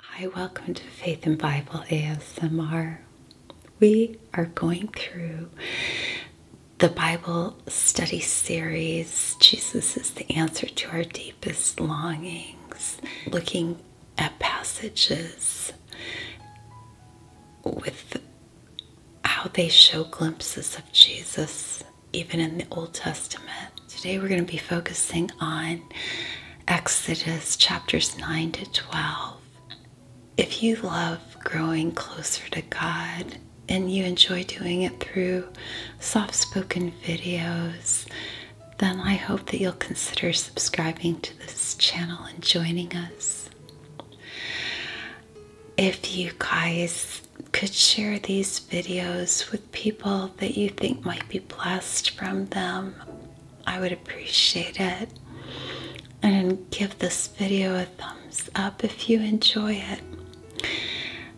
Hi, welcome to Faith and Bible ASMR. We are going through the Bible study series, Jesus is the Answer to Our Deepest Longings, looking at passages with how they show glimpses of Jesus even in the Old Testament. Today we're going to be focusing on Exodus chapters 9 to 12. If you love growing closer to God and you enjoy doing it through soft spoken videos, then I hope that you'll consider subscribing to this channel and joining us. If you guys could share these videos with people that you think might be blessed from them. I would appreciate it. And give this video a thumbs up if you enjoy it.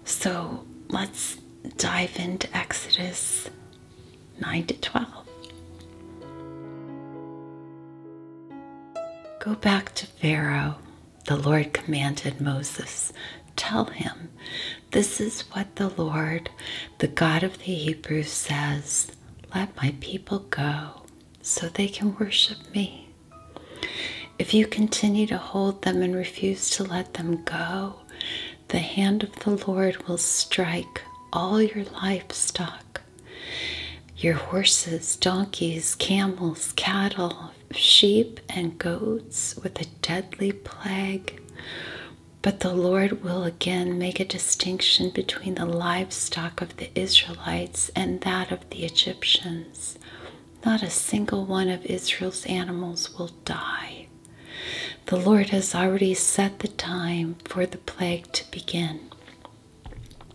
So let's dive into Exodus 9 to 12. Go back to Pharaoh, the Lord commanded Moses Tell him, This is what the Lord, the God of the Hebrews, says Let my people go so they can worship me. If you continue to hold them and refuse to let them go, the hand of the Lord will strike all your livestock your horses, donkeys, camels, cattle, sheep, and goats with a deadly plague. But the Lord will again make a distinction between the livestock of the Israelites and that of the Egyptians. Not a single one of Israel's animals will die. The Lord has already set the time for the plague to begin.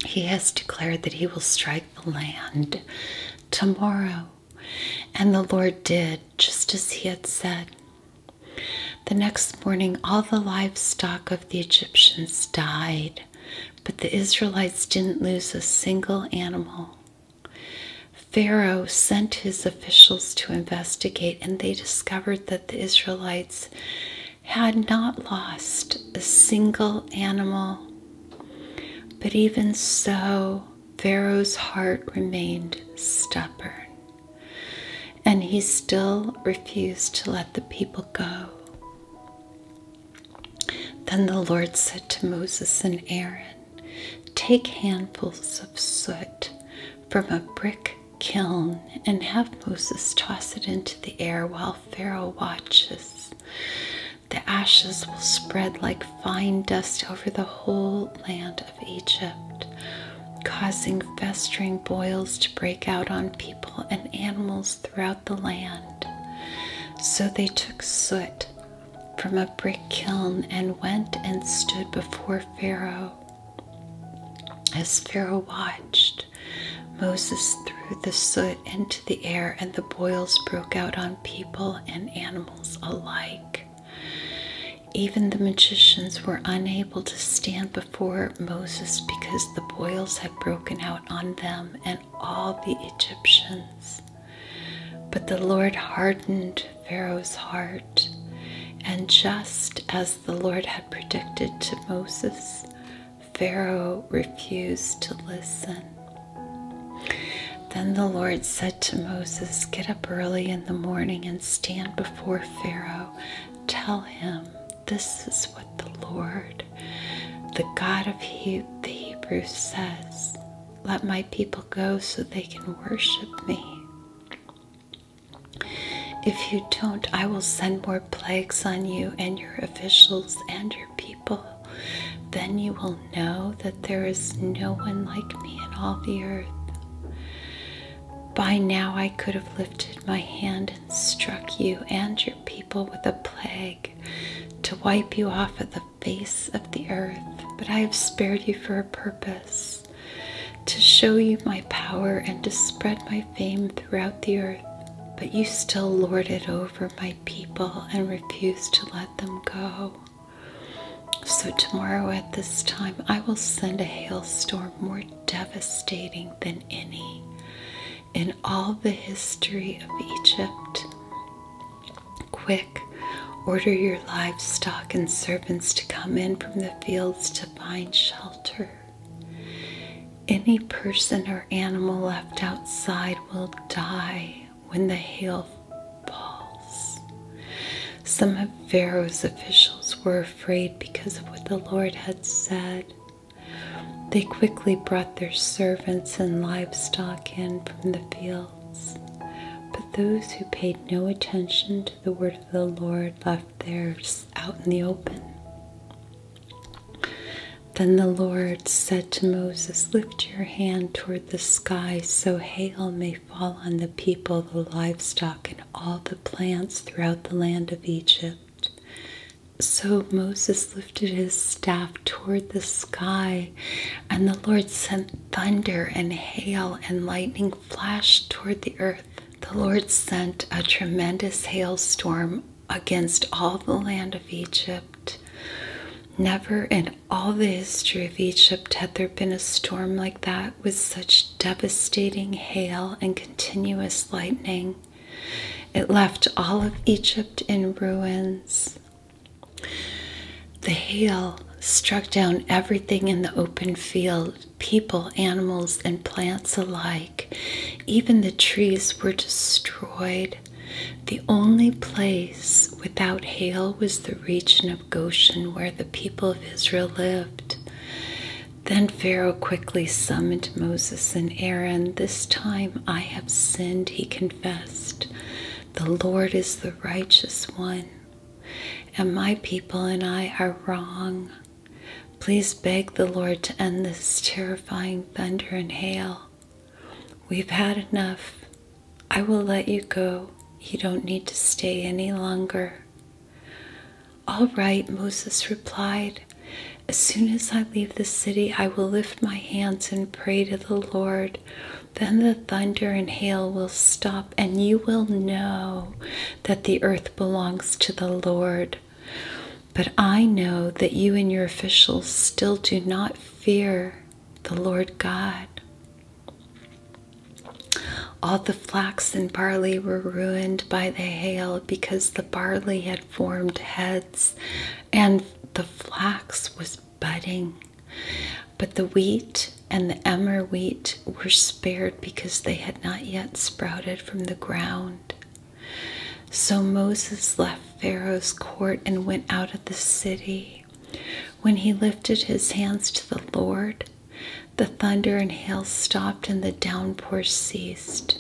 He has declared that He will strike the land tomorrow. And the Lord did just as He had said. The next morning, all the livestock of the Egyptians died, but the Israelites didn't lose a single animal. Pharaoh sent his officials to investigate, and they discovered that the Israelites had not lost a single animal. But even so, Pharaoh's heart remained stubborn, and he still refused to let the people go. Then the Lord said to Moses and Aaron, Take handfuls of soot from a brick kiln and have Moses toss it into the air while Pharaoh watches. The ashes will spread like fine dust over the whole land of Egypt, causing festering boils to break out on people and animals throughout the land. So they took soot from a brick kiln and went and stood before Pharaoh. As Pharaoh watched, Moses threw the soot into the air, and the boils broke out on people and animals alike. Even the magicians were unable to stand before Moses because the boils had broken out on them and all the Egyptians. But the Lord hardened Pharaoh's heart, and just as the Lord had predicted to Moses, Pharaoh refused to listen. Then the Lord said to Moses, Get up early in the morning and stand before Pharaoh. Tell him, This is what the Lord, the God of he the Hebrews, says Let my people go so they can worship me. If you don't, I will send more plagues on you and your officials and your people. Then you will know that there is no one like me in all the earth. By now I could have lifted my hand and struck you and your people with a plague to wipe you off of the face of the earth, but I have spared you for a purpose to show you my power and to spread my fame throughout the earth. But you still lorded over my people and refused to let them go. So, tomorrow at this time, I will send a hailstorm more devastating than any in all the history of Egypt. Quick, order your livestock and servants to come in from the fields to find shelter. Any person or animal left outside will die when the hail falls. Some of Pharaoh's officials were afraid because of what the Lord had said. They quickly brought their servants and livestock in from the fields. But those who paid no attention to the word of the Lord left theirs out in the open. Then the Lord said to Moses, Lift your hand toward the sky so hail may fall on the people, the livestock, and all the plants throughout the land of Egypt. So Moses lifted his staff toward the sky, and the Lord sent thunder and hail, and lightning flashed toward the earth. The Lord sent a tremendous hailstorm against all the land of Egypt. Never in all the history of Egypt had there been a storm like that with such devastating hail and continuous lightning. It left all of Egypt in ruins. The hail struck down everything in the open field people, animals, and plants alike. Even the trees were destroyed. The only place without hail was the region of. Goshen, where the people of Israel lived. Then Pharaoh quickly summoned Moses and Aaron. This time I have sinned, he confessed. The Lord is the righteous one, and my people and I are wrong. Please beg the Lord to end this terrifying thunder and hail. We've had enough. I will let you go. You don't need to stay any longer. All right, Moses replied. As soon as I leave the city, I will lift my hands and pray to the Lord. Then the thunder and hail will stop, and you will know that the earth belongs to the Lord. But I know that you and your officials still do not fear the Lord God. All the flax and barley were ruined by the hail because the barley had formed heads and the flax was budding. But the wheat and the emmer wheat were spared because they had not yet sprouted from the ground. So Moses left Pharaoh's court and went out of the city. When he lifted his hands to the Lord, the thunder and hail stopped and the downpour ceased.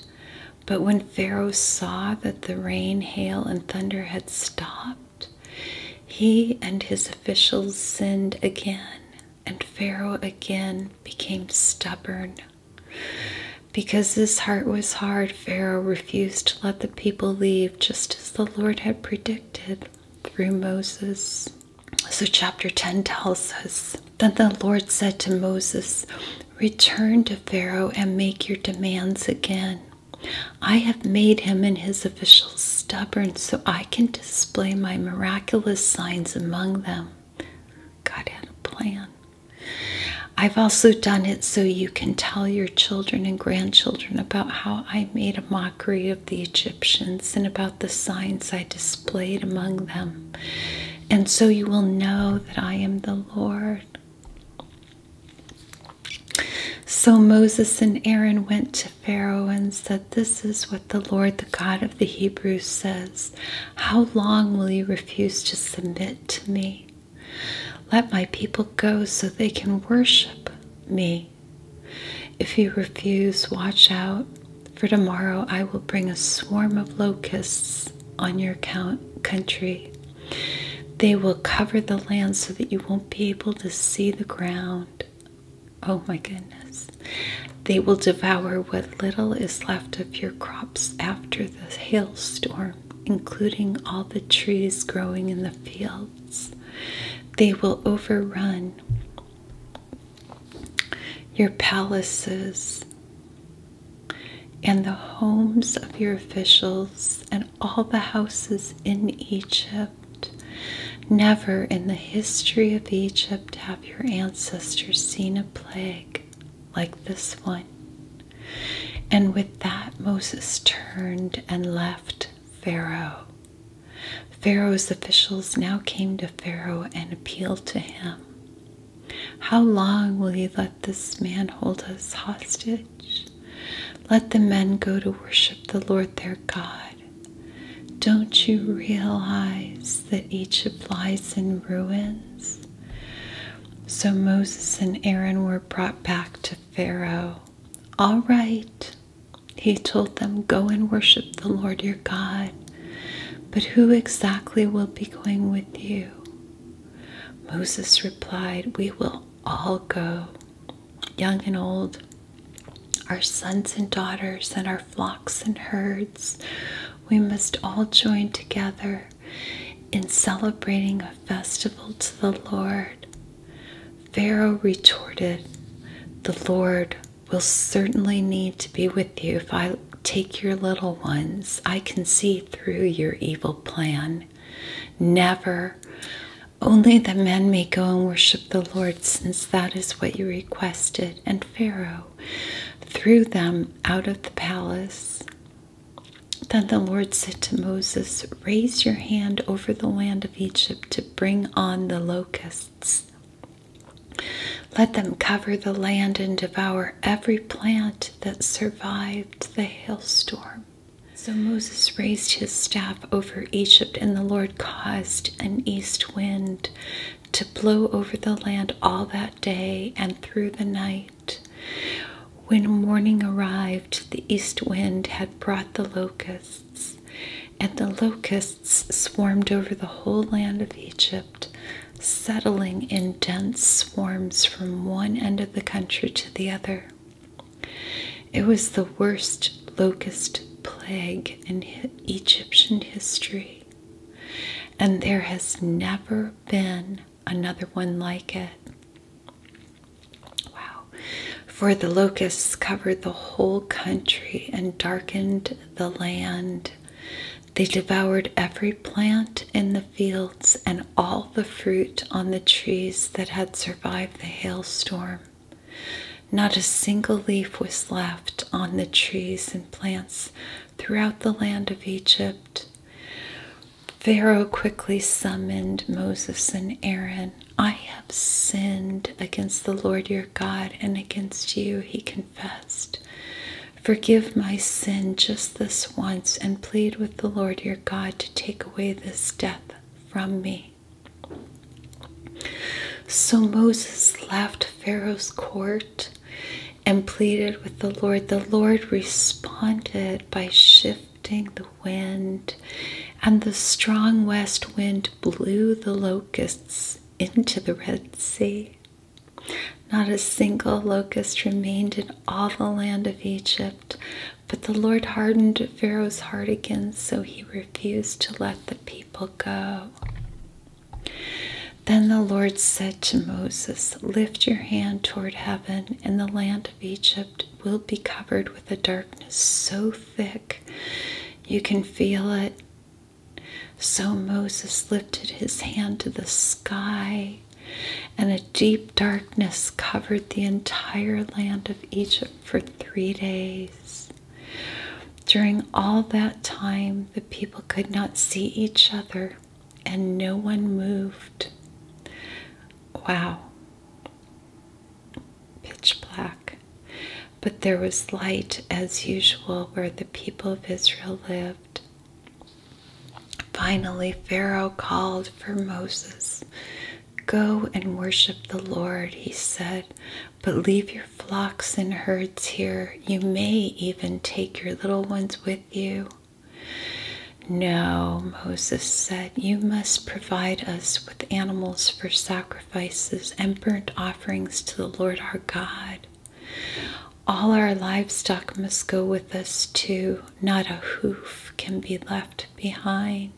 But when Pharaoh saw that the rain, hail, and thunder had stopped, he and his officials sinned again, and Pharaoh again became stubborn. Because his heart was hard, Pharaoh refused to let the people leave, just as the Lord had predicted through Moses. So, chapter 10 tells us Then the Lord said to Moses, Return to Pharaoh and make your demands again. I have made him and his officials stubborn so I can display my miraculous signs among them. God had a plan. I've also done it so you can tell your children and grandchildren about how I made a mockery of the Egyptians and about the signs I displayed among them. And so you will know that I am the Lord. So Moses and Aaron went to Pharaoh and said, This is what the Lord, the God of the Hebrews, says How long will you refuse to submit to me? Let my people go so they can worship me. If you refuse, watch out, for tomorrow I will bring a swarm of locusts on your count country. They will cover the land so that you won't be able to see the ground. Oh my goodness. They will devour what little is left of your crops after the hailstorm, including all the trees growing in the field they will overrun your palaces and the homes of your officials and all the houses in Egypt. Never in the history of Egypt have your ancestors seen a plague like this one. And with that, Moses turned and left Pharaoh. Pharaoh's officials now came to Pharaoh and appealed to him. How long will you let this man hold us hostage? Let the men go to worship the Lord their God. Don't you realize that Egypt lies in ruins? So Moses and Aaron were brought back to Pharaoh, all right, he told them, go and worship the Lord your God. But who exactly will be going with you? Moses replied, We will all go, young and old, our sons and daughters, and our flocks and herds. We must all join together in celebrating a festival to the Lord. Pharaoh retorted, The Lord will certainly need to be with you if I take your little ones. I can see through your evil plan. Never. Only the men may go and worship the Lord, since that is what you requested. And Pharaoh threw them out of the palace. Then the Lord said to Moses, Raise your hand over the land of Egypt to bring on the locusts. Let them cover the land and devour every plant that survived the hailstorm. So Moses raised his staff over Egypt, and the Lord caused an east wind to blow over the land all that day and through the night. When morning arrived, the east wind had brought the locusts, and the locusts swarmed over the whole land of Egypt, settling in dense swarms from one end of the country to the other. It was the worst locust plague in Egyptian history, and there has never been another one like it. Wow. For the locusts covered the whole country and darkened the land. They devoured every plant in the fields and all the fruit on the trees that had survived the hailstorm. Not a single leaf was left on the trees and plants throughout the land of Egypt. Pharaoh quickly summoned Moses and Aaron. I have sinned against the Lord your God and against you, he confessed. Forgive my sin just this once and plead with the Lord your God to take away this death from me. So Moses left Pharaoh's court and pleaded with the Lord. The Lord responded by shifting the wind, and the strong west wind blew the locusts into the Red Sea. Not a single locust remained in all the land of Egypt, but the Lord hardened Pharaoh's heart again, so he refused to let the people go. Then the Lord said to Moses, Lift your hand toward heaven, and the land Egypt will be covered with a darkness so thick you can feel it. So Moses lifted his hand to the sky, and a deep darkness covered the entire land of Egypt for three days. During all that time, the people could not see each other and no one moved. Wow. Pitch black. But there was light as usual where the people of Israel lived. Finally, Pharaoh called for Moses. Go and worship the Lord, he said, but leave your flocks and herds here. You may even take your little ones with you. No, Moses said, you must provide us with animals for sacrifices and burnt offerings to the Lord our God. All our livestock must go with us too, not a hoof can be left behind.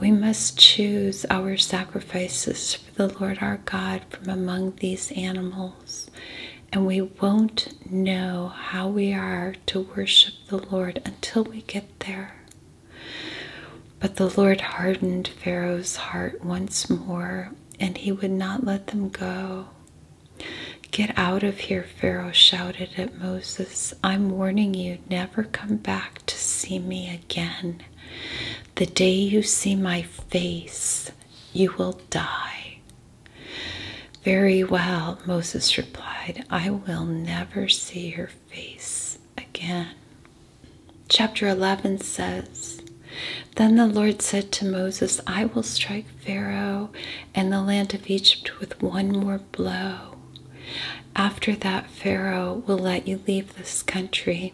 We must choose our sacrifices for the Lord our God from among these animals and we won't know how we are to worship the Lord until we get there. But the Lord hardened Pharaoh's heart once more, and he would not let them go. Get out of here, Pharaoh shouted at Moses. I'm warning you, never come back to see me again. The day you see my face, you will die. Very well, Moses replied, I will never see her face again. Chapter 11 says, Then the Lord said to Moses, I will strike Pharaoh and the land of Egypt with one more blow. After that, Pharaoh will let you leave this country.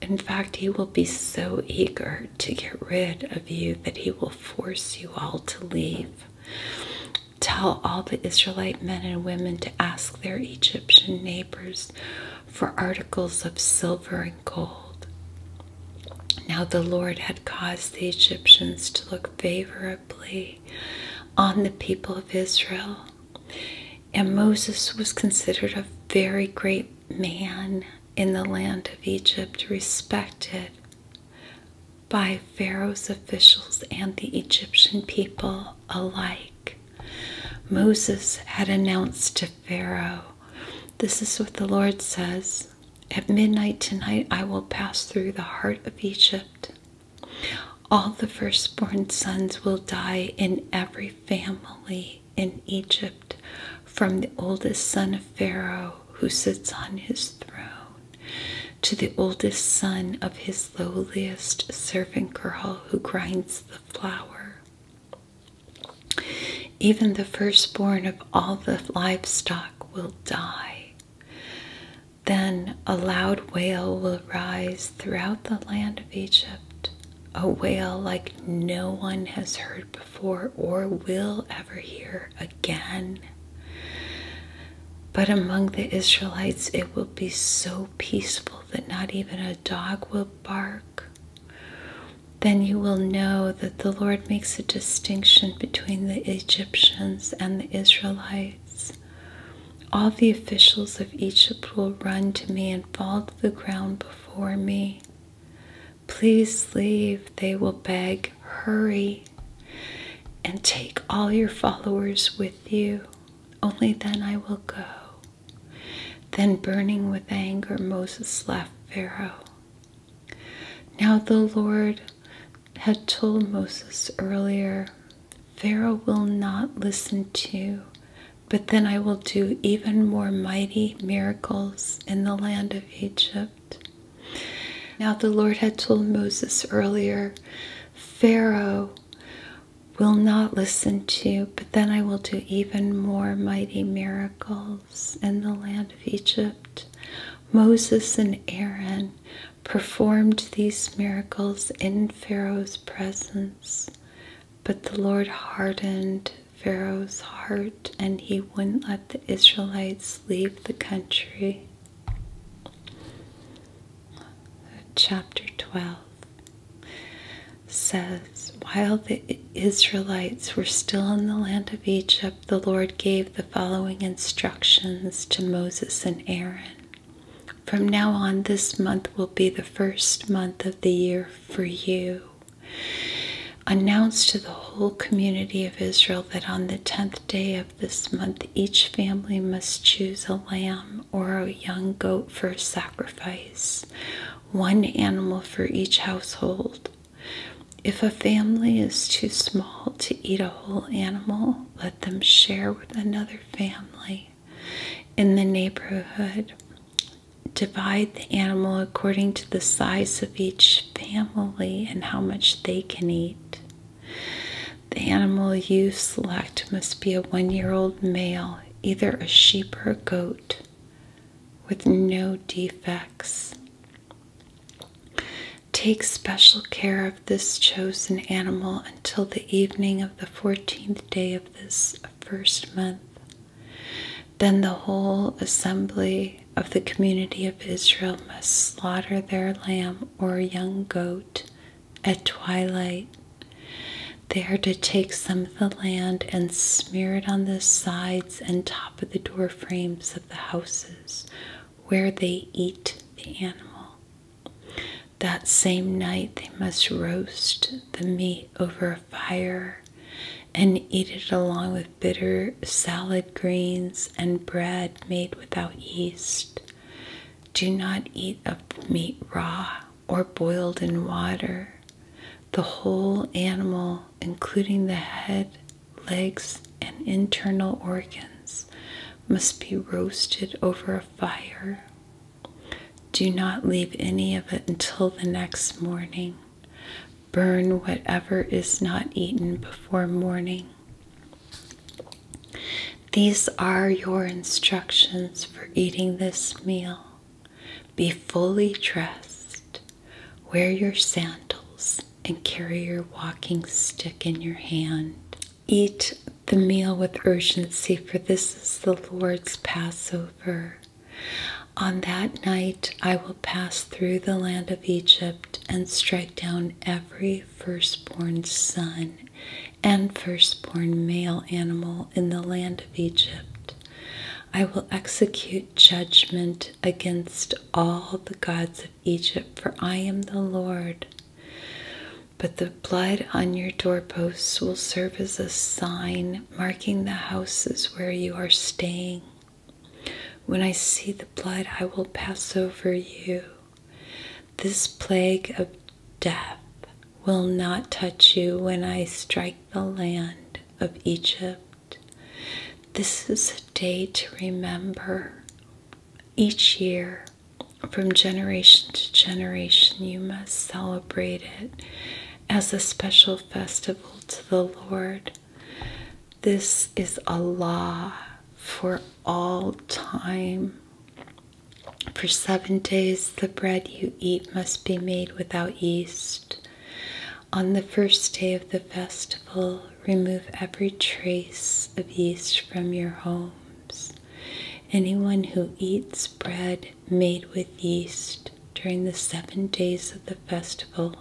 In fact, he will be so eager to get rid of you that he will force you all to leave. Tell all the Israelite men and women to ask their Egyptian neighbors for articles of silver and gold. Now the Lord had caused the Egyptians to look favorably on the people of Israel. And Moses was considered a very great man in the land of Egypt, respected by Pharaoh's officials and the Egyptian people alike. Moses had announced to Pharaoh, This is what the Lord says At midnight tonight I will pass through the heart of Egypt. All the firstborn sons will die in every family in Egypt, from the oldest son of Pharaoh who sits on his throne, to the oldest son of his lowliest servant girl who grinds the flour. Even the firstborn of all the livestock will die. Then a loud wail will rise throughout the land of Egypt, a wail like no one has heard before or will ever hear again again. But among the Israelites, it will be so peaceful that not even a dog will bark. Then you will know that the Lord makes a distinction between the Egyptians and the Israelites. All the officials of Egypt will run to me and fall to the ground before me. Please leave, they will beg. Hurry and take all your followers with you. Only then I will go. Then, burning with anger, Moses left Pharaoh. Now, the Lord had told Moses earlier, Pharaoh will not listen to you, but then I will do even more mighty miracles in the land of Egypt. Now, the Lord had told Moses earlier, Pharaoh will not listen to, but then I will do even more mighty miracles in the land of Egypt. Moses and Aaron performed these miracles in Pharaoh's presence, but the Lord hardened Pharaoh's heart, and he wouldn't let the Israelites leave the country. Chapter 12 says, While the Israelites were still in the land of Egypt, the Lord gave the following instructions to Moses and Aaron. From now on, this month will be the first month of the year for you. Announce to the whole community of Israel that on the tenth day of this month, each family must choose a lamb or a young goat for sacrifice, one animal for each household. If a family is too small to eat a whole animal, let them share with another family in the neighborhood divide the animal according to the size of each family and how much they can eat. The animal you select must be a one year old male, either a sheep or a goat, with no defects. Take special care of this chosen animal until the evening of the 14th day of this first month. Then the whole assembly of the community of Israel must slaughter their lamb or young goat at twilight. They are to take some of the land and smear it on the sides and top of the door frames of the houses where they eat the animal. That same night they must roast the meat over fire and eat it along with bitter salad greens and bread made without yeast. Do not eat of meat raw or boiled in water. The whole animal, including the head, legs, and internal organs, must be roasted over a fire. Do not leave any of it until the next morning. Burn whatever is not eaten before morning. These are your instructions for eating this meal. Be fully dressed, wear your sandals, and carry your walking stick in your hand. Eat the meal with urgency, for this is the Lord's Passover. On that night I will pass through the land of Egypt and strike down every firstborn son and firstborn male animal in the land of Egypt. I will execute judgment against all the gods of Egypt, for I am the Lord. But the blood on your doorposts will serve as a sign marking the houses where you are staying. When I see the blood, I will pass over you. This plague of death will not touch you when I strike the land of Egypt. This is a day to remember. Each year, from generation to generation, you must celebrate it as a special festival to the Lord. This is a law for all time. For seven days, the bread you eat must be made without yeast. On the first day of the festival, remove every trace of yeast from your homes. Anyone who eats bread made with yeast during the seven days of the festival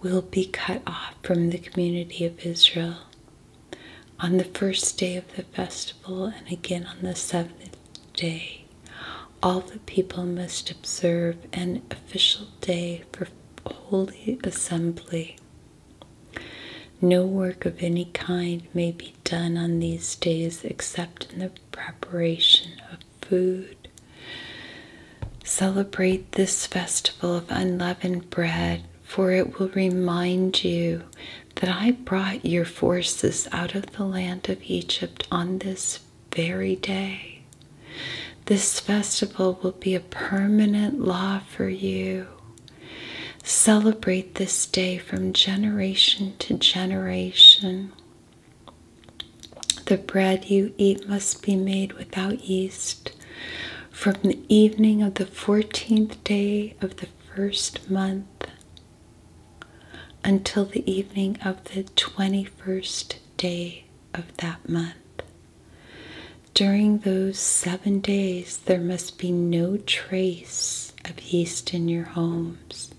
will be cut off from the community of Israel. On the first day of the festival and again on the seventh day, all the people must observe an official day for holy assembly. No work of any kind may be done on these days except in the preparation of food. Celebrate this festival of unleavened bread, for it will remind you that I brought your forces out of the land of Egypt on this very day. This festival will be a permanent law for you. Celebrate this day from generation to generation. The bread you eat must be made without yeast. From the evening of the fourteenth day of the first month until the evening of the twenty first day of that month. During those seven days, there must be no trace of yeast in your homes.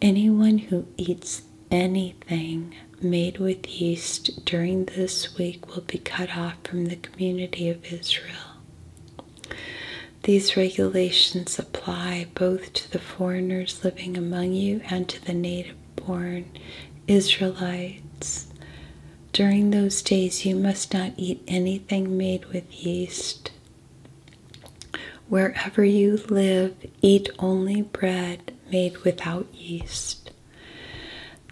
Anyone who eats anything made with yeast during this week will be cut off from the community of Israel. These regulations apply both to the foreigners living among you and to the native born Israelites. During those days, you must not eat anything made with yeast. Wherever you live, eat only bread made without yeast.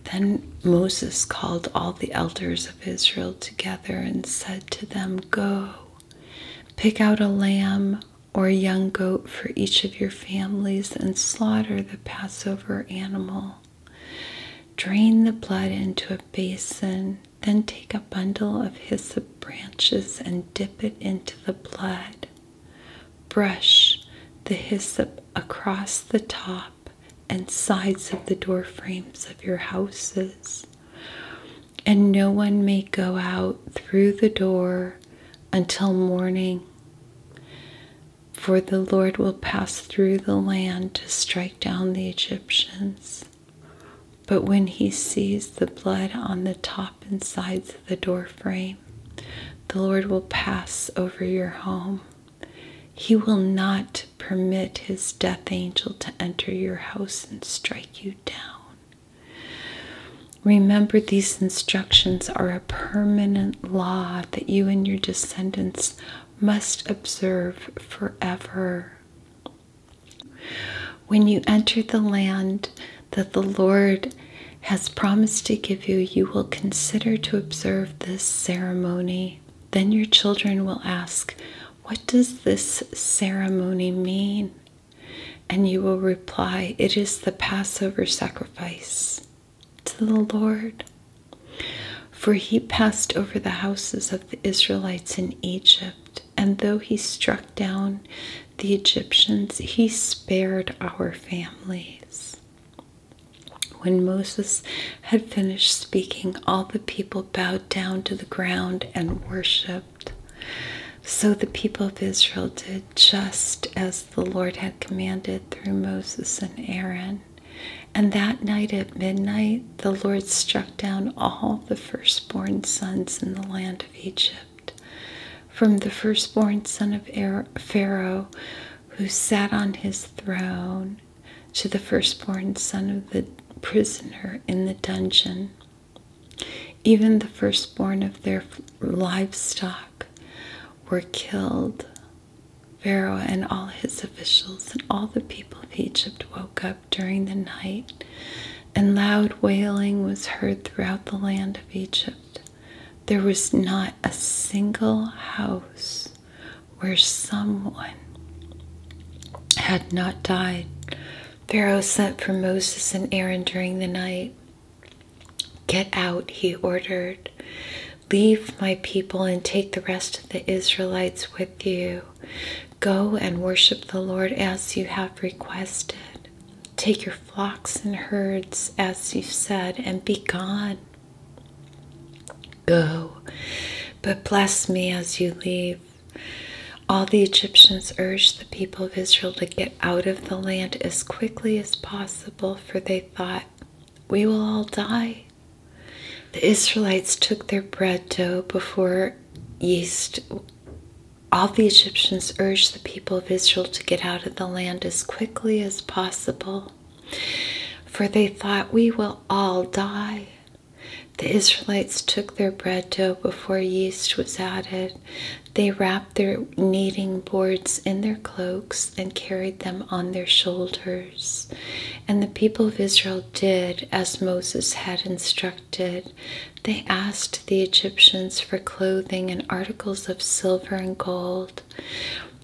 Then Moses called all the elders of Israel together and said to them, Go, pick out a lamb or a young goat for each of your families and slaughter the Passover animal. Drain the blood into a basin, then take a bundle of hyssop branches and dip it into the blood. Brush the hyssop across the top and sides of the door frames of your houses. And no one may go out through the door until morning, for the Lord will pass through the land to strike down the Egyptians. But when he sees the blood on the top and sides of the door frame, the Lord will pass over your home. He will not permit his death angel to enter your house and strike you down. Remember, these instructions are a permanent law that you and your descendants must observe forever. When you enter the land that the Lord has promised to give you, you will consider to observe this ceremony. Then your children will ask, What does this ceremony mean? And you will reply, It is the Passover sacrifice to the Lord. For he passed over the houses of the Israelites in Egypt and though he struck down the Egyptians, he spared our families. When Moses had finished speaking, all the people bowed down to the ground and worshipped. So the people of Israel did just as the Lord had commanded through Moses and Aaron. And that night at midnight, the Lord struck down all the firstborn sons in the land Egypt, from the firstborn son of Pharaoh who sat on his throne to the firstborn son of the prisoner in the dungeon, even the firstborn of their livestock were killed. Pharaoh and all his officials and all the people of Egypt woke up during the night, and loud wailing was heard throughout the land of Egypt. There was not a single house where someone had not died. Pharaoh sent for Moses and Aaron during the night. Get out, he ordered. Leave my people and take the rest of the Israelites with you. Go and worship the Lord as you have requested. Take your flocks and herds as you've said, and be gone. Go, but bless me as you leave. All the Egyptians urged the people of Israel to get out of the land as quickly as possible, for they thought, We will all die. The Israelites took their bread dough before yeast all the Egyptians urged the people of Israel to get out of the land as quickly as possible, for they thought, We will all die. The Israelites took their bread dough before yeast was added. They wrapped their kneading boards in their cloaks and carried them on their shoulders. And the people of Israel did as Moses had instructed they asked the Egyptians for clothing and articles of silver and gold.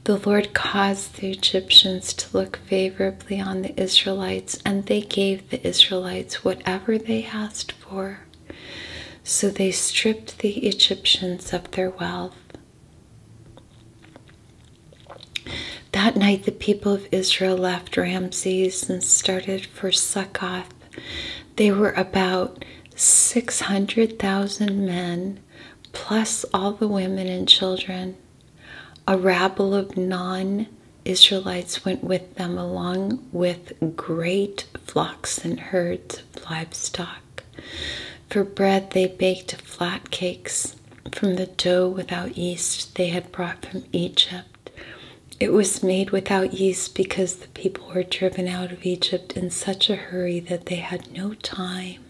The Lord caused the Egyptians to look favorably on the Israelites, and they gave the Israelites whatever they asked for. So they stripped the Egyptians of their wealth. That night, the people of Israel left Ramses and started for Succoth. They were about 600,000 men, plus all the women and children. A rabble of non Israelites went with them, along with great flocks and herds of livestock. For bread, they baked flat cakes from the dough without yeast they had brought from Egypt. It was made without yeast because the people were driven out of Egypt in such a hurry that they had no time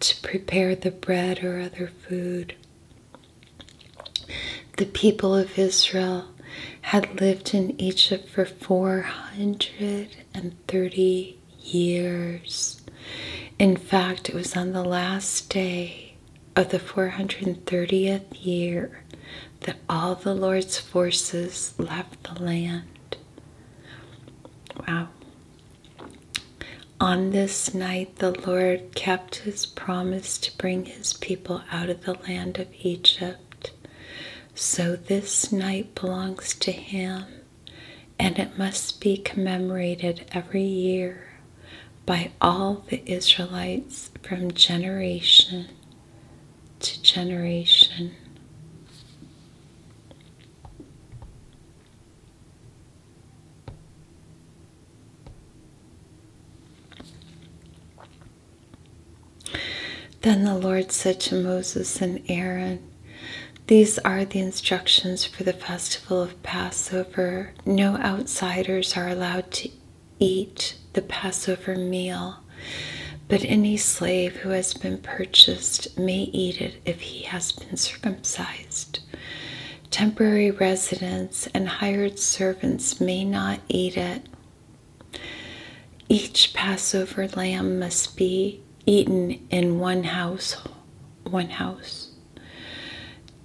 to prepare the bread or other food. The people of Israel had lived in Egypt for 430 years. In fact, it was on the last day of the 430th year that all the Lord's forces left the land. Wow. On this night, the Lord kept his promise to bring his people out of the land of Egypt. So this night belongs to him, and it must be commemorated every year by all the Israelites from generation to generation. Then the Lord said to Moses and Aaron, These are the instructions for the festival of Passover no outsiders are allowed to eat the Passover meal, but any slave who has been purchased may eat it if he has been circumcised. Temporary residents and hired servants may not eat it. Each Passover lamb must be eaten in one house, one house.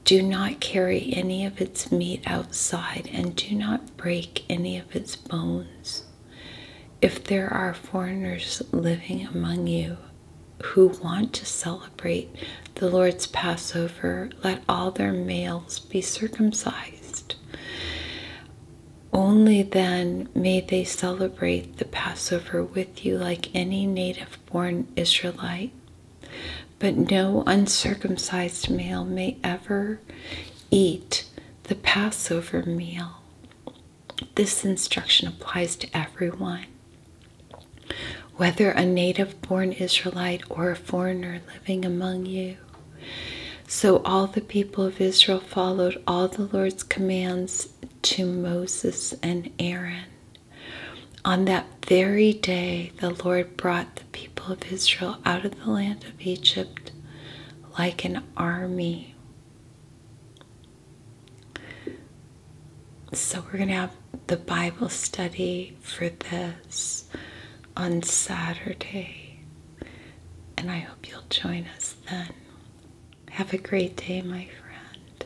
Do not carry any of its meat outside, and do not break any of its bones. If there are foreigners living among you who want to celebrate the Lord's Passover, let all their males be circumcised. Only then may they celebrate the Passover with you like any native born Israelite. But no uncircumcised male may ever eat the Passover meal. This instruction applies to everyone, whether a native born Israelite or a foreigner living among you. So all the people of Israel followed all the Lord's commands to Moses and Aaron. On that very day, the Lord brought the people of Israel out of the land of Egypt like an army. So, we're going to have the Bible study for this on Saturday, and I hope you'll join us then. Have a great day, my friend.